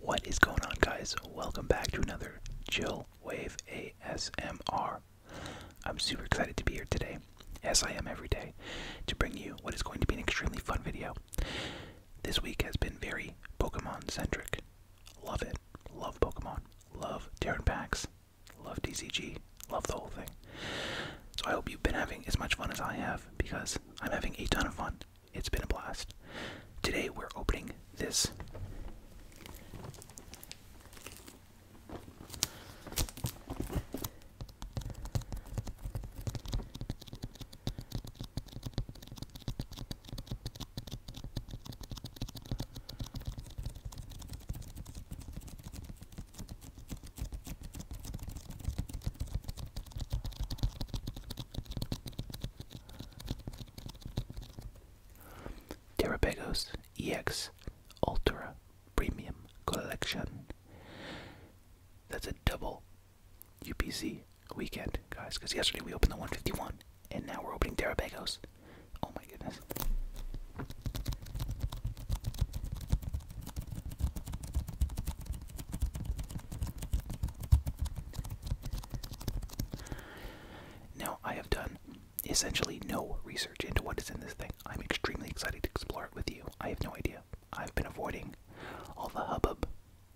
What is going on, guys? Welcome back to another Jill Wave ASMR. I'm super excited to be here today, as I am every day, to bring you what is going to be an extremely fun video. This week has been very Pokemon centric. Love it. Love Pokemon. Love Terran packs. Love DCG. Love the whole thing. So I hope you've been having as much fun as I have because I'm having a ton of fun. It's been a blast. Today we're opening this. Terabegos EX Ultra Premium Collection. That's a double UPC weekend, guys, because yesterday we opened the 151, and now we're opening Terabegos. Oh my goodness. Now, I have done essentially no research into what is in this thing. I'm extremely excited to explore it with you. I have no idea. I've been avoiding all the hubbub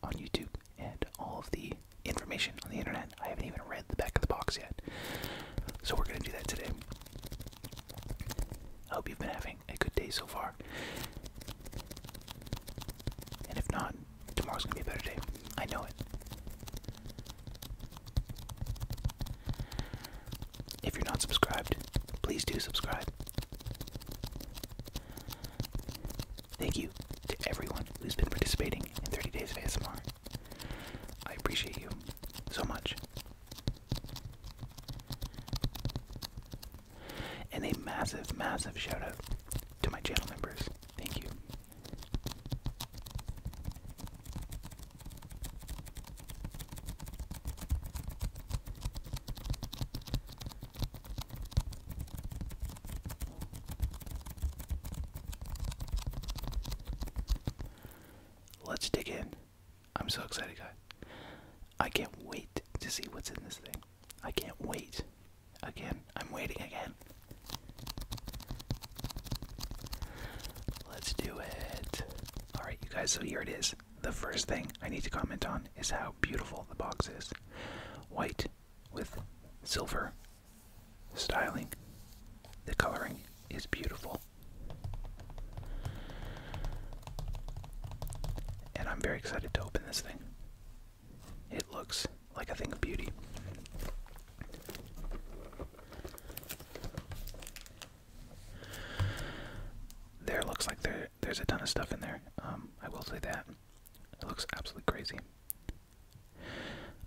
on YouTube and all of the information on the internet. I haven't even read the back of the box yet. So, we're going to do that today. I hope you've been having a good day so far. And if not, Tomorrow's gonna be a better day. I know it. If you're not subscribed, please do subscribe. Thank you to everyone who's been participating in 30 Days of ASMR. I appreciate you so much. And a massive, massive shout out to my channel members. Thank you. Let's dig in. I'm so excited, guys. I can't wait to see what's in this thing. I can't wait Again, I'm waiting again. Let's do it. Alright, you guys, so here it is. The first thing I need to comment on is how beautiful the box is white with silver styling. The coloring is beautiful. And I'm very excited to open this thing. It looks like a thing of beauty. There looks like there there's a ton of stuff in there. Um, I will say that. It looks absolutely crazy.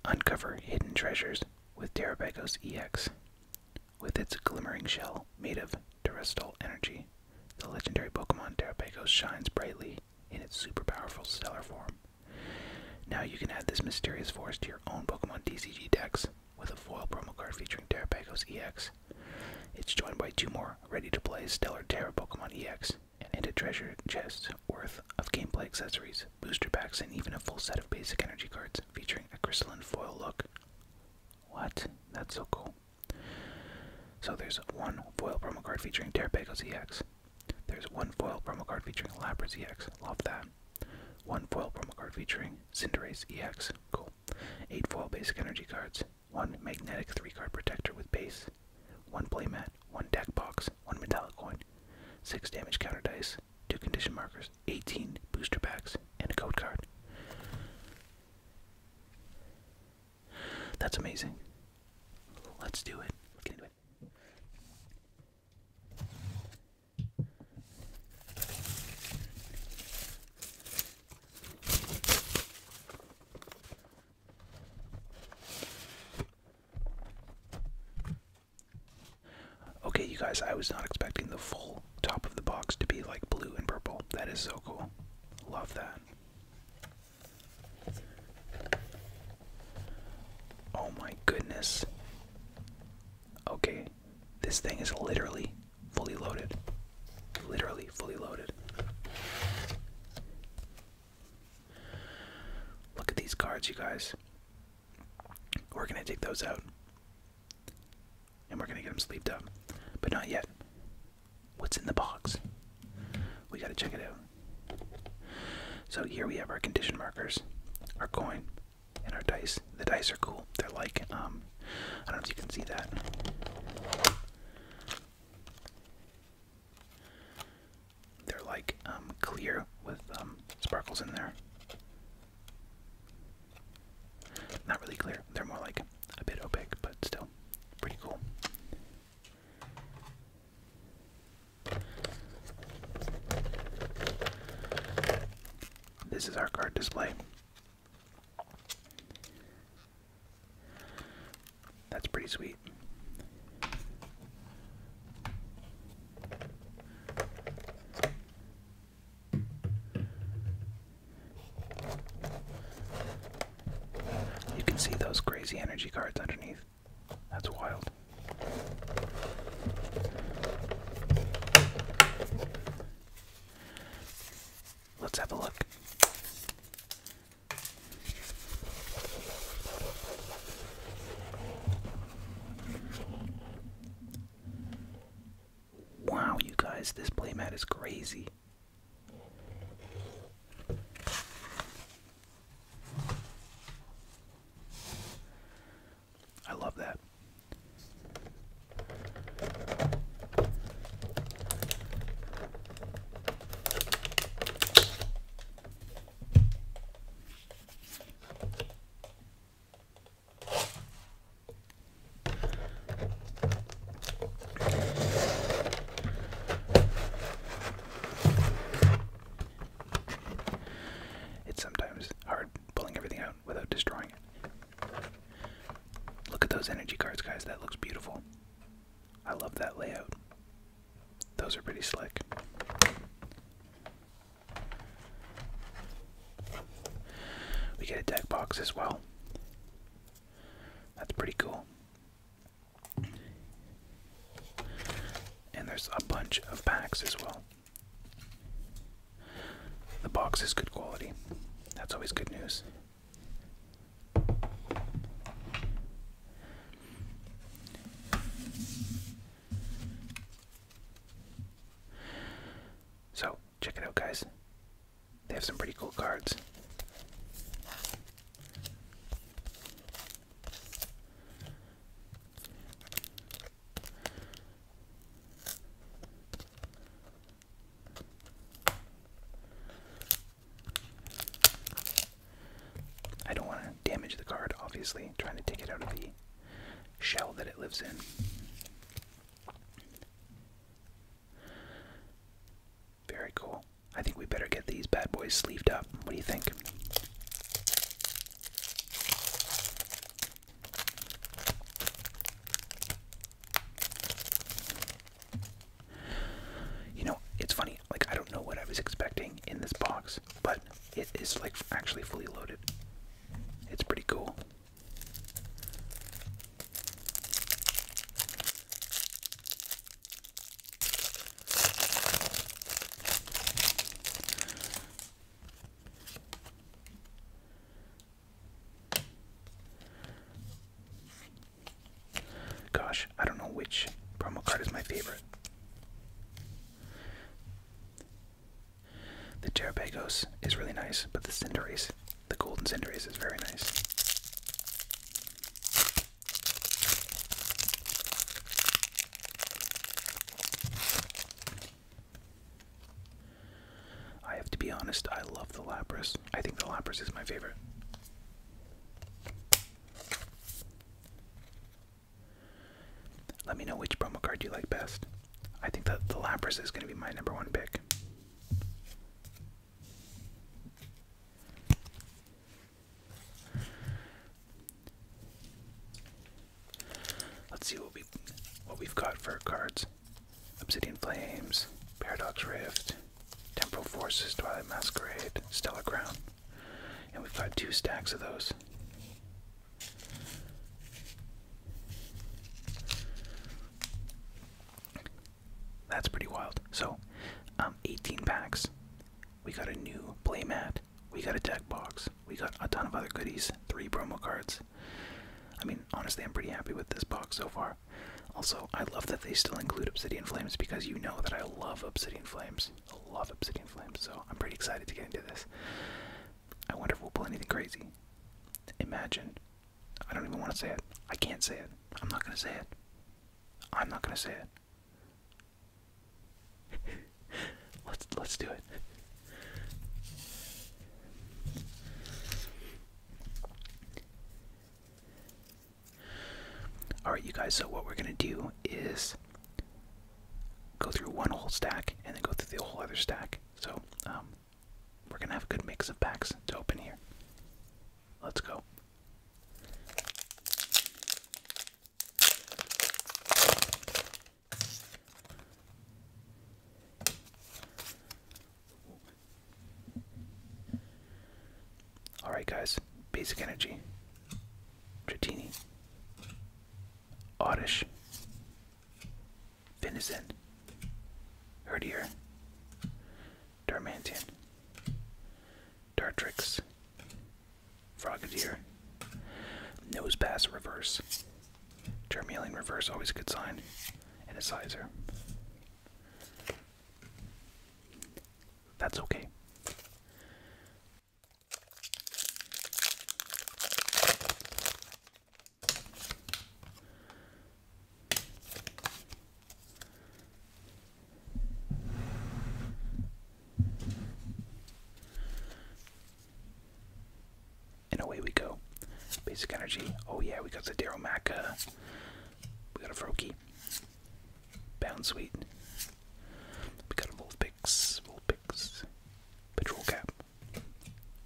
Uncover hidden treasures with Terabagos EX. With its glimmering shell made of terrestrial energy, the legendary Pokemon Terabagos shines brightly in its super powerful stellar form. Now you can add this mysterious force to your own Pokemon DCG decks with a foil promo card featuring Terrapagos EX. It's joined by two more ready-to-play Stellar Terra Pokemon EX and a treasure chest worth of gameplay accessories, booster packs, and even a full set of basic energy cards featuring a crystalline foil look. What? That's so cool. So there's one foil promo card featuring Terrapagos EX, there's one foil promo card featuring Lapras EX. Love that. One foil promo card featuring Cinderace EX. Cool. Eight foil basic energy cards. One magnetic three card protector with base. One play mat. One deck box. One metallic coin. Six damage counter dice. Two condition markers. 18 booster packs. And a code card. That's amazing. Let's do it. Okay, you guys, I was not expecting the full top of the box to be like blue and purple. That is so cool. Love that. Oh my goodness. Okay, this thing is literally fully loaded. Literally fully loaded. Look at these cards, you guys. We're gonna take those out. And we're gonna get them sleeved up. But not yet. What's in the box? We gotta check it out. So here we have our condition markers, our coin, and our dice. The dice are cool. They're like, um, I don't know if you can see that. They're like um, clear with um, sparkles in there. Not really clear. They're more like a bit opaque, but still pretty cool. This is our card display. That's pretty sweet. You can see those crazy energy cards underneath. That's wild. Let's have a look. Wow, you guys, this playmat is crazy. I love that. It's sometimes hard pulling everything out without destroying it. Look at those energy cards, guys. That looks beautiful. I love that layout. Those are pretty slick. We get a deck box as well. That's pretty cool. And there's a bunch of packs as well. The box is good quality. That's always good news. So, check it out, guys. They have some pretty cool cards. I don't want to damage the card, obviously, trying to take it out of the shell that it lives in. Very cool. I think we better get these bad boys sleeved up. What do you think? You know, it's funny, like, I don't know what I was expecting in this box, but it is, like, actually fully loaded. It's pretty cool. Gosh, I don't know which promo card is my favorite. The Terabagos is really nice, but the Cinderace, the Golden Cinderace, is very nice. I have to be honest, I love the Lapras. I think the Lapras is my favorite. Let me know which promo card you like best. I think that the Lapras is going to be my number one pick. Let's see what we what we've got for cards. Obsidian Flames, Paradox Rift, Temporal Forces, Twilight Masquerade, Stellar Crown. And we've got two stacks of those. That's pretty wild. So, um, 18 packs. We got a new play playmat. We got a deck box. We got a ton of other goodies. Three promo cards. I mean, honestly, I'm pretty happy with this box so far. Also, I love that they still include Obsidian Flames because you know that I love Obsidian Flames. I love Obsidian Flames, so I'm pretty excited to get into this. I wonder if we'll pull anything crazy. Imagine. I don't even want to say it. I can't say it. I'm not going to say it. I'm not going to say it. let's let's do it. Alright, you guys, so what we're going to do is go through one whole stack and then go through the whole other stack. So, um, we're going to have a good mix of packs to open here. Let's go. Alright, guys. Basic Energy. Dratini. Oddish. Venison. Herdier. Darmantian. Dartrix. Frogadier. Nose pass reverse. Charmeleon reverse, always a good sign. And a sizer. That's okay. And away we go. Basic energy. Oh yeah, we got the Daryl Macca. We got a Froakie. Bound Sweet. We got a Wolf Pick's. Patrol Cap.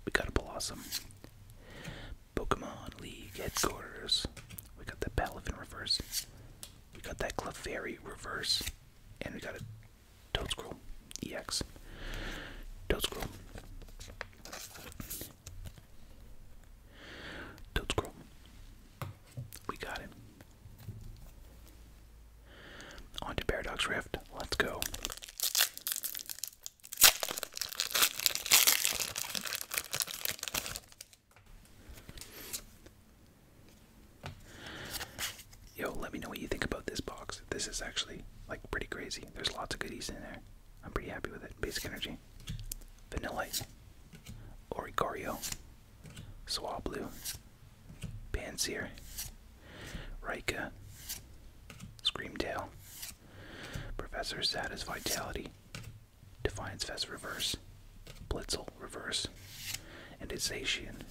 We got a Blossom. Pokemon League Headquarters. We got that Palafin reverse. We got that Clefairy reverse. And we got a Toad Scroll EX. Toad Scroll. Toad Scroll. We got it. On to Paradox Rift. Let's go. Yo, let me know what you think about this box. This is actually like pretty crazy. There's lots of goodies in there. I'm pretty happy with it. Basic Energy, Vanilla Ice, Oricario, Swablu, Panseer, Rika, Tail, Professor Satisvitality, Defiance Vest Reverse, Blitzel reverse, and Isacian.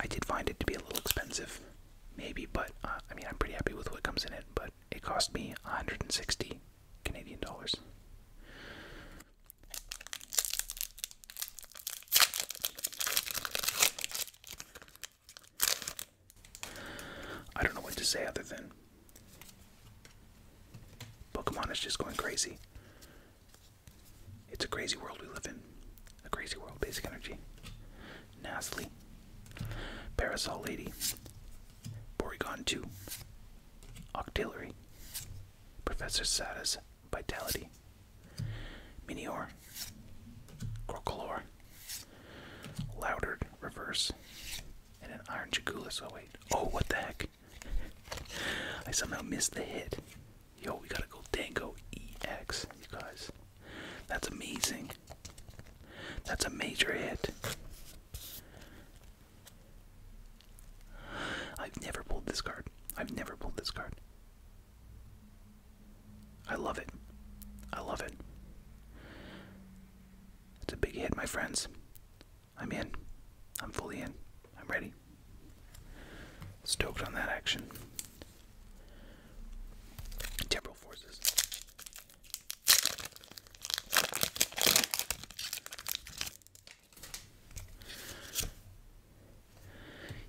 I did find it to be a little expensive, maybe, but uh, I mean, I'm pretty happy with what comes in it, but it cost me 160 Canadian dollars. I don't know what to say other than Pokemon is just going crazy. It's a crazy world we live in. A crazy world, basic energy. Nasty. Parasol Lady. Porygon 2. Octillery. Professor Sada's Vitality. Minior. Crocolore. Loudered Reverse. And an Iron Jagula. So oh, wait. Oh, what the heck? I somehow missed the hit. Yo, we gotta go Dango EX, you guys. That's amazing. That's a major hit. I've never pulled this card. I've never pulled this card. I love it. I love it. It's a big hit, my friends. I'm in. I'm fully in. I'm ready. Stoked on that action. Temporal forces.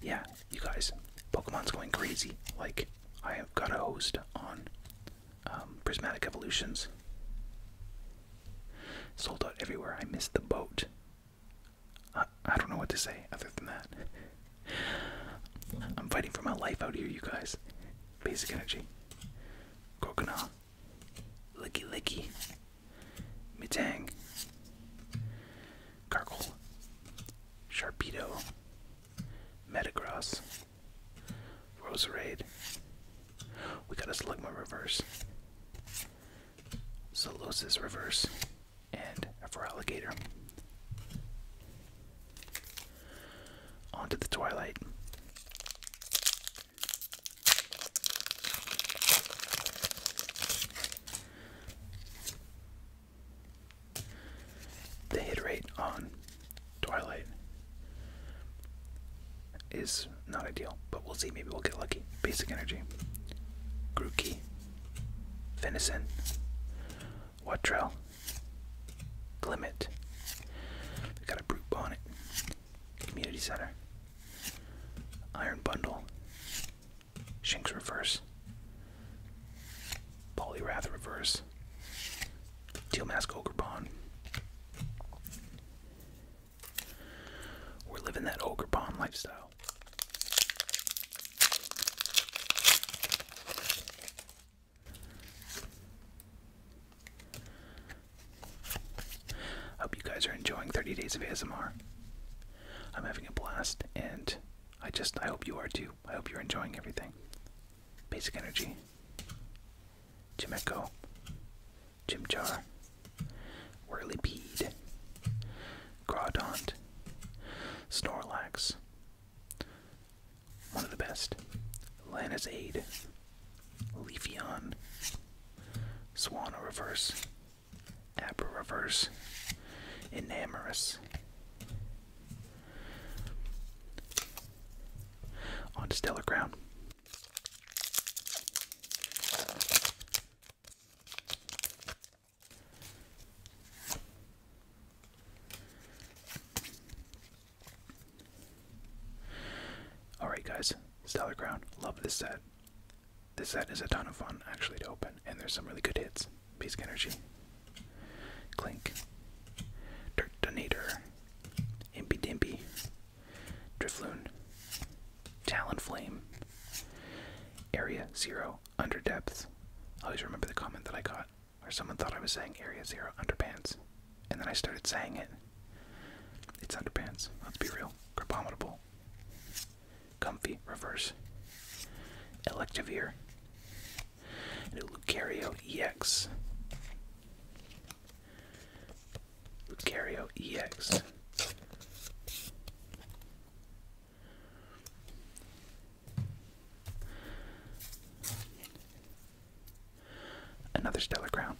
Yeah, you guys, Pokemon's going crazy. Like, I have got a host on um, Prismatic Evolutions. Sold out everywhere. I missed the boat. I, I don't know what to say other than that. I'm fighting for my life out here, you guys. Basic energy. Coconut. Licky Licky. Metang. Gargle. Sharpedo. Metagross. Roserade. We got a Slugma reverse. Solosis Reverse, and for Alligator. Onto the Twilight. The hit on Twilight is not ideal, but we'll see. Maybe we'll get lucky. Basic energy. Grooky. Venison. Watrell. Glimmet. We got a brute bonnet. Community center. Iron bundle. Shinx reverse. Polyrath reverse. Teal mask ogre bond. We're living that ogre pond lifestyle. Hope you guys are enjoying 30 days of ASMR. I'm having a blast, and I just I hope you are too. I hope you're enjoying everything. Basic Energy, Jim Echo, Chimchar, Whirlipede, Crawdont, Snorlax, one of the best, Lana's Aid, Leafeon, Swana Reverse, Abra Reverse, Enamorous. On Stellar Crown. Alright, guys, Stellar ground. Love this set. This set is a ton of fun actually to open, and there's some really good hits. Basic Energy, Clink, Dirt Donator, Impy Dimpy, Drifloon, Talonflame, Area Zero, Underdepth. I always remember the comment that I got where someone thought I was saying Area Zero Underpants, and then I started saying it. It's Underpants, let's be real. Crabominable. Comfy, Reverse, Electivire, and Lucario EX. Lucario EX. Another Stellar ground.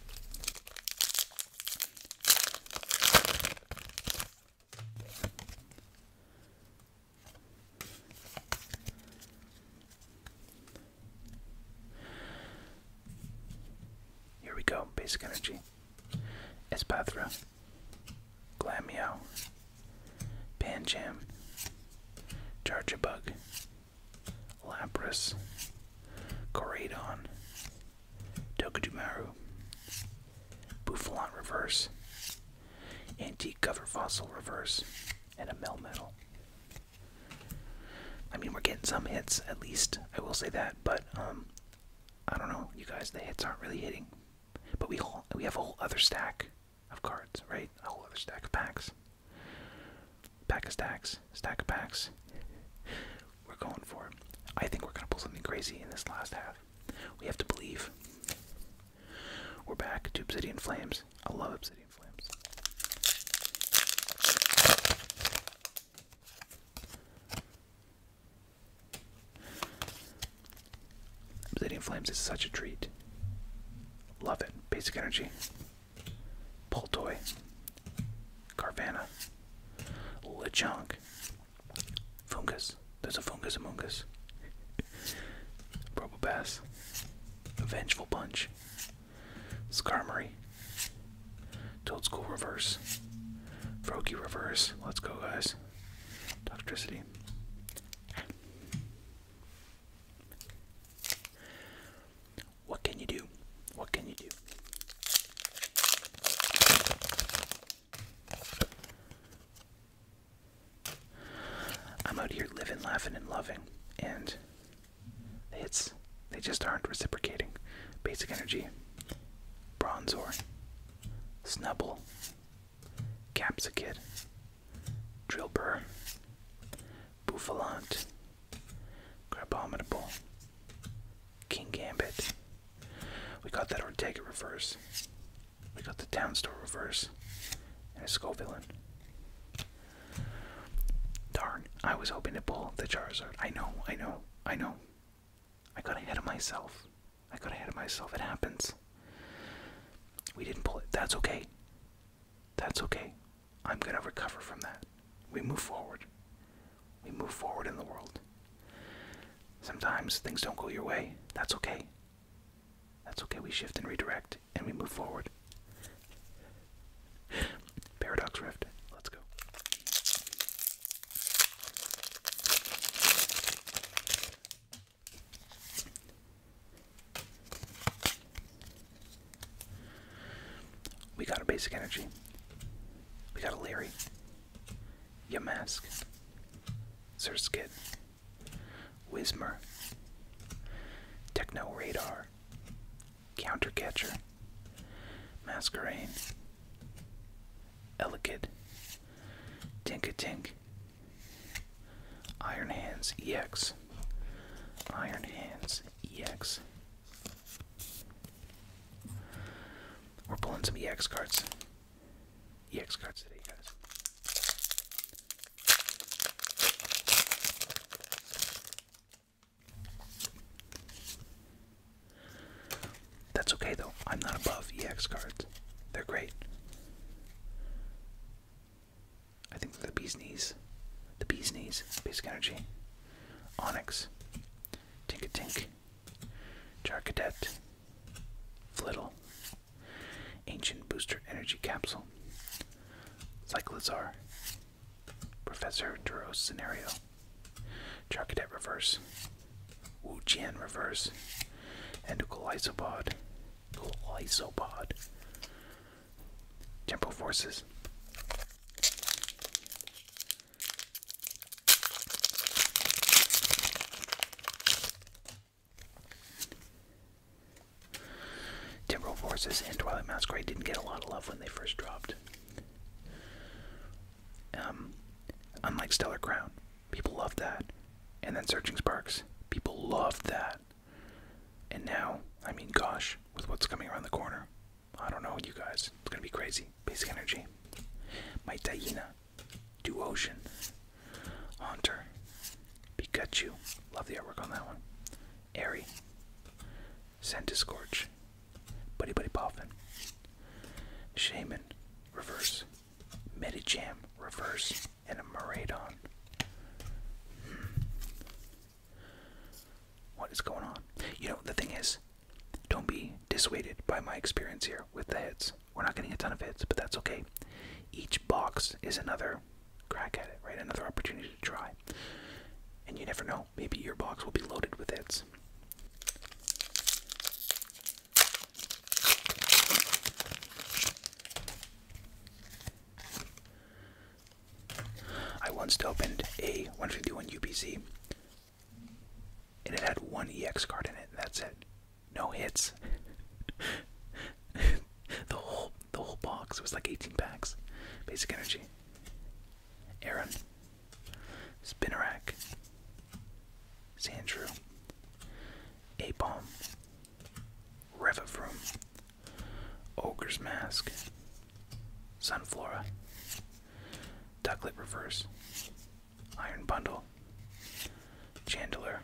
Here we go, basic energy. Espathra, Glamio, Pancham, Bug, Lapras, Corradon, Tokudomaru, Buffalon Reverse, Antique Cover Fossil Reverse, and a Melmetal. I mean, we're getting some hits, at least, I will say that, but um, I don't know, you guys. The hits aren't really hitting, but we have a whole other stack of cards, right? A whole other stack of packs, pack of stacks, stack of packs. We're going for I think we're gonna pull something crazy in this last half. We have to believe. We're back to Obsidian Flames. I love Obsidian Flames. Obsidian Flames is such a treat. Love it. Basic Energy. Poltoy. Carvana. Lechonk. Fungus. There's a Fungus among us. Probobass. Vengeful Punch. Skarmory. Toad School Reverse. froggy Reverse. Let's go, guys. Doctricity. What can you do? What can you do? I'm out here living, laughing, and loving, and it's they just aren't reciprocating. Basic energy, Bronzor, Snubble, Capsicid, Drillbur, Buffalant, Crabominable, King Gambit. We got that Ortega reverse. We got the Town Store reverse. And a Skull Darn, I was hoping to pull the Charizard. I know, I know, I know. I got ahead of myself. I got ahead of myself. It happens. We didn't pull it. That's okay. That's okay. I'm going to recover from that. We move forward. We move forward in the world. Sometimes things don't go your way. That's okay. That's okay. We shift and redirect and we move forward. Paradox Rift. Let's go. We got a basic energy. We got a Leary. mask. Surskit. Wizmer. Techno Radar. Counter catcher. Masquerade. Tink a tink. Iron Hands EX, Iron Hands EX. We're pulling some EX cards. EX cards today, guys. That's okay though, I'm not above EX cards. They're great. I think the bee's knees. The bee's knees. Basic energy. Onyx. Tinkatink. Charcadet. Flittle. Ancient Booster Energy Capsule. Cyclozar. Professor Duros Scenario. Charcadet Reverse, Wu Jian Reverse, and Glyzopod, Glyzopod, Forces. Temporal Forces and Twilight Masquerade didn't get a lot of love when they first dropped. Um, unlike Stellar Crown, people loved that. And then Searching Sparks, people loved that. And now, I mean, gosh, with what's coming around the corner, I don't know, you guys. It's gonna be crazy. Basic Energy, My Taina, Duocean, Haunter, Pikachu. Love the artwork on that one. Airy, Scentiscorch, Buddy Buddy Puffin, Shaman, reverse. Medicham, reverse. And a Maradon. Hmm. What is going on? You know, the thing is, don't be dissuaded by my experience here with the hits. We're not getting a ton of hits, but that's okay. Each box is another crack at it, right? Another opportunity to try. And you never know, maybe your box will be loaded with hits. I once opened a 151 UPC and it had one EX card in it. And that's it. No hits. the whole the whole box was like 18 packs. Basic energy. Aaron, Spinarak, Sandrew, Apalm, Revivroom, Ogre's Mask, Sunflora, Ducklet Reverse, Iron Bundle, Chandler,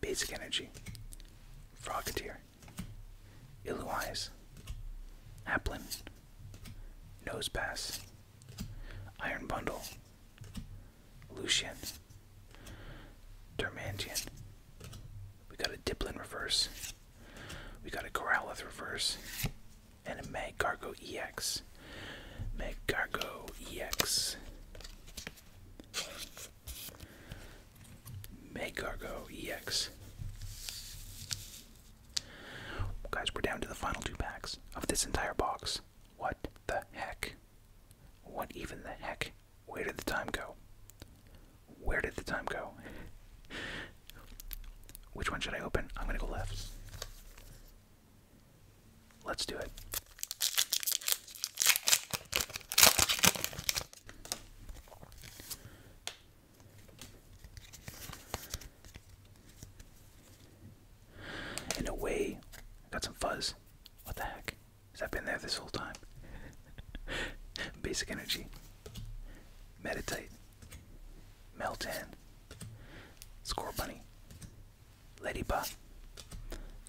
Basic Energy, Frogatier, Illuise, Applin, Nosepass, Iron Bundle, Lucian, Dermantian. We got a Diplin reverse. We got a Growlithe reverse and a Magcargo EX. Magcargo EX. Magcargo EX. Guys, we're down to the final two packs of this entire box. What the heck? What even the heck? Where did the time go? Where did the time go? Which one should I open? I'm gonna go left. Let's do it. In a way, got some fuzz. What the heck? Has that been there this whole time? Basic energy. Meditate. Meltan, Score Bunny, Ladybug,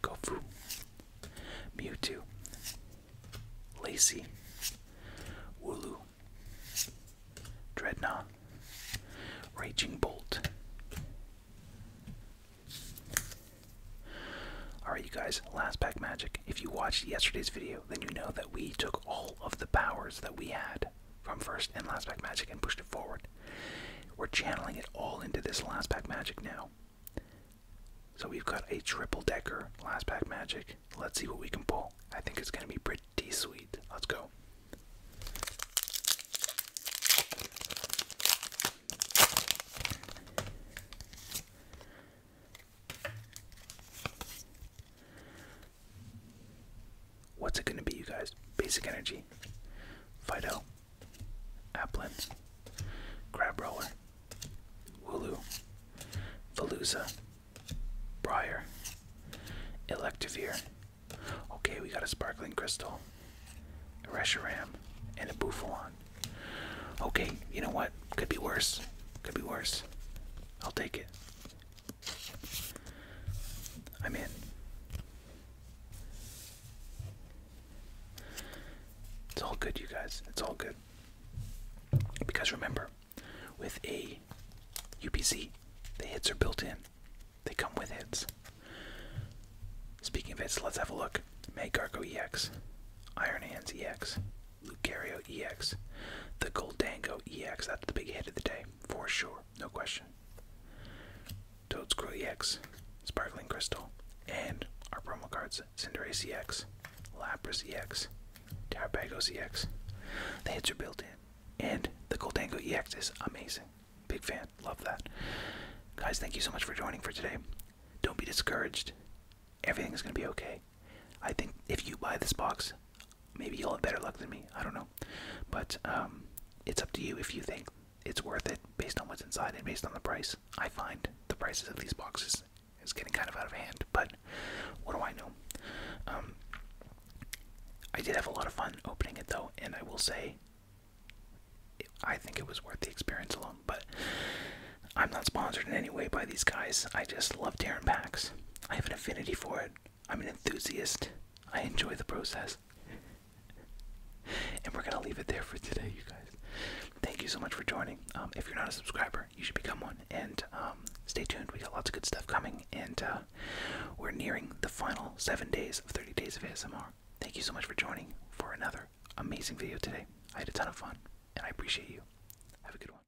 Gofu, Mewtwo, Lacy, Wooloo, Dreadnought, Raging Bolt. Alright, you guys, last pack magic. If you watched yesterday's video, then you know that we took all of the powers that we had from first and last pack magic and pushed it forward. We're channeling it all into this last pack magic now. So we've got a triple decker last pack magic. Let's see what we can pull. I think it's going to be pretty sweet. Let's go. What's it gonna be, you guys? Basic Energy, Fido, Applins, Crab Roller, Wooloo, Brier, Briar, Electivire. Okay, we got a Sparkling Crystal, a Reshiram, and a Buffalon. Okay, you know what? Could be worse. Could be worse. I'll take it. I'm in. It's all good, you guys. It's all good. Because remember, with a UPC, the hits are built in, they come with hits. Speaking of hits, let's have a look. Megargo EX, Iron Hands EX, Lucario EX, the Goldango EX. That's the big hit of the day, for sure, no question. Toadscrew EX, Sparkling Crystal, and our promo cards Cinderace EX, Lapras EX, Tarapagos EX. The hits are built in, and the Goldango EX is amazing. Big fan, love that. Guys, thank you so much for joining for today. Don't be discouraged. Everything is going to be okay. I think if you buy this box, maybe you'll have better luck than me. I don't know. But um, it's up to you if you think it's worth it based on what's inside and based on the price. I find the prices of these boxes is getting kind of out of hand, but what do I know? Um, I did have a lot of fun opening it though, and I will say I think it was worth the experience alone, but I'm not sponsored in any way by these guys. I just love tearing packs. I have an affinity for it. I'm an enthusiast. I enjoy the process. and we're going to leave it there for today, you guys. Thank you so much for joining. Um, if you're not a subscriber, you should become one. And um, stay tuned. We got lots of good stuff coming. And uh, we're nearing the final seven days of 30 days of ASMR. Thank you so much for joining for another amazing video today. I had a ton of fun, and I appreciate you. Have a good one.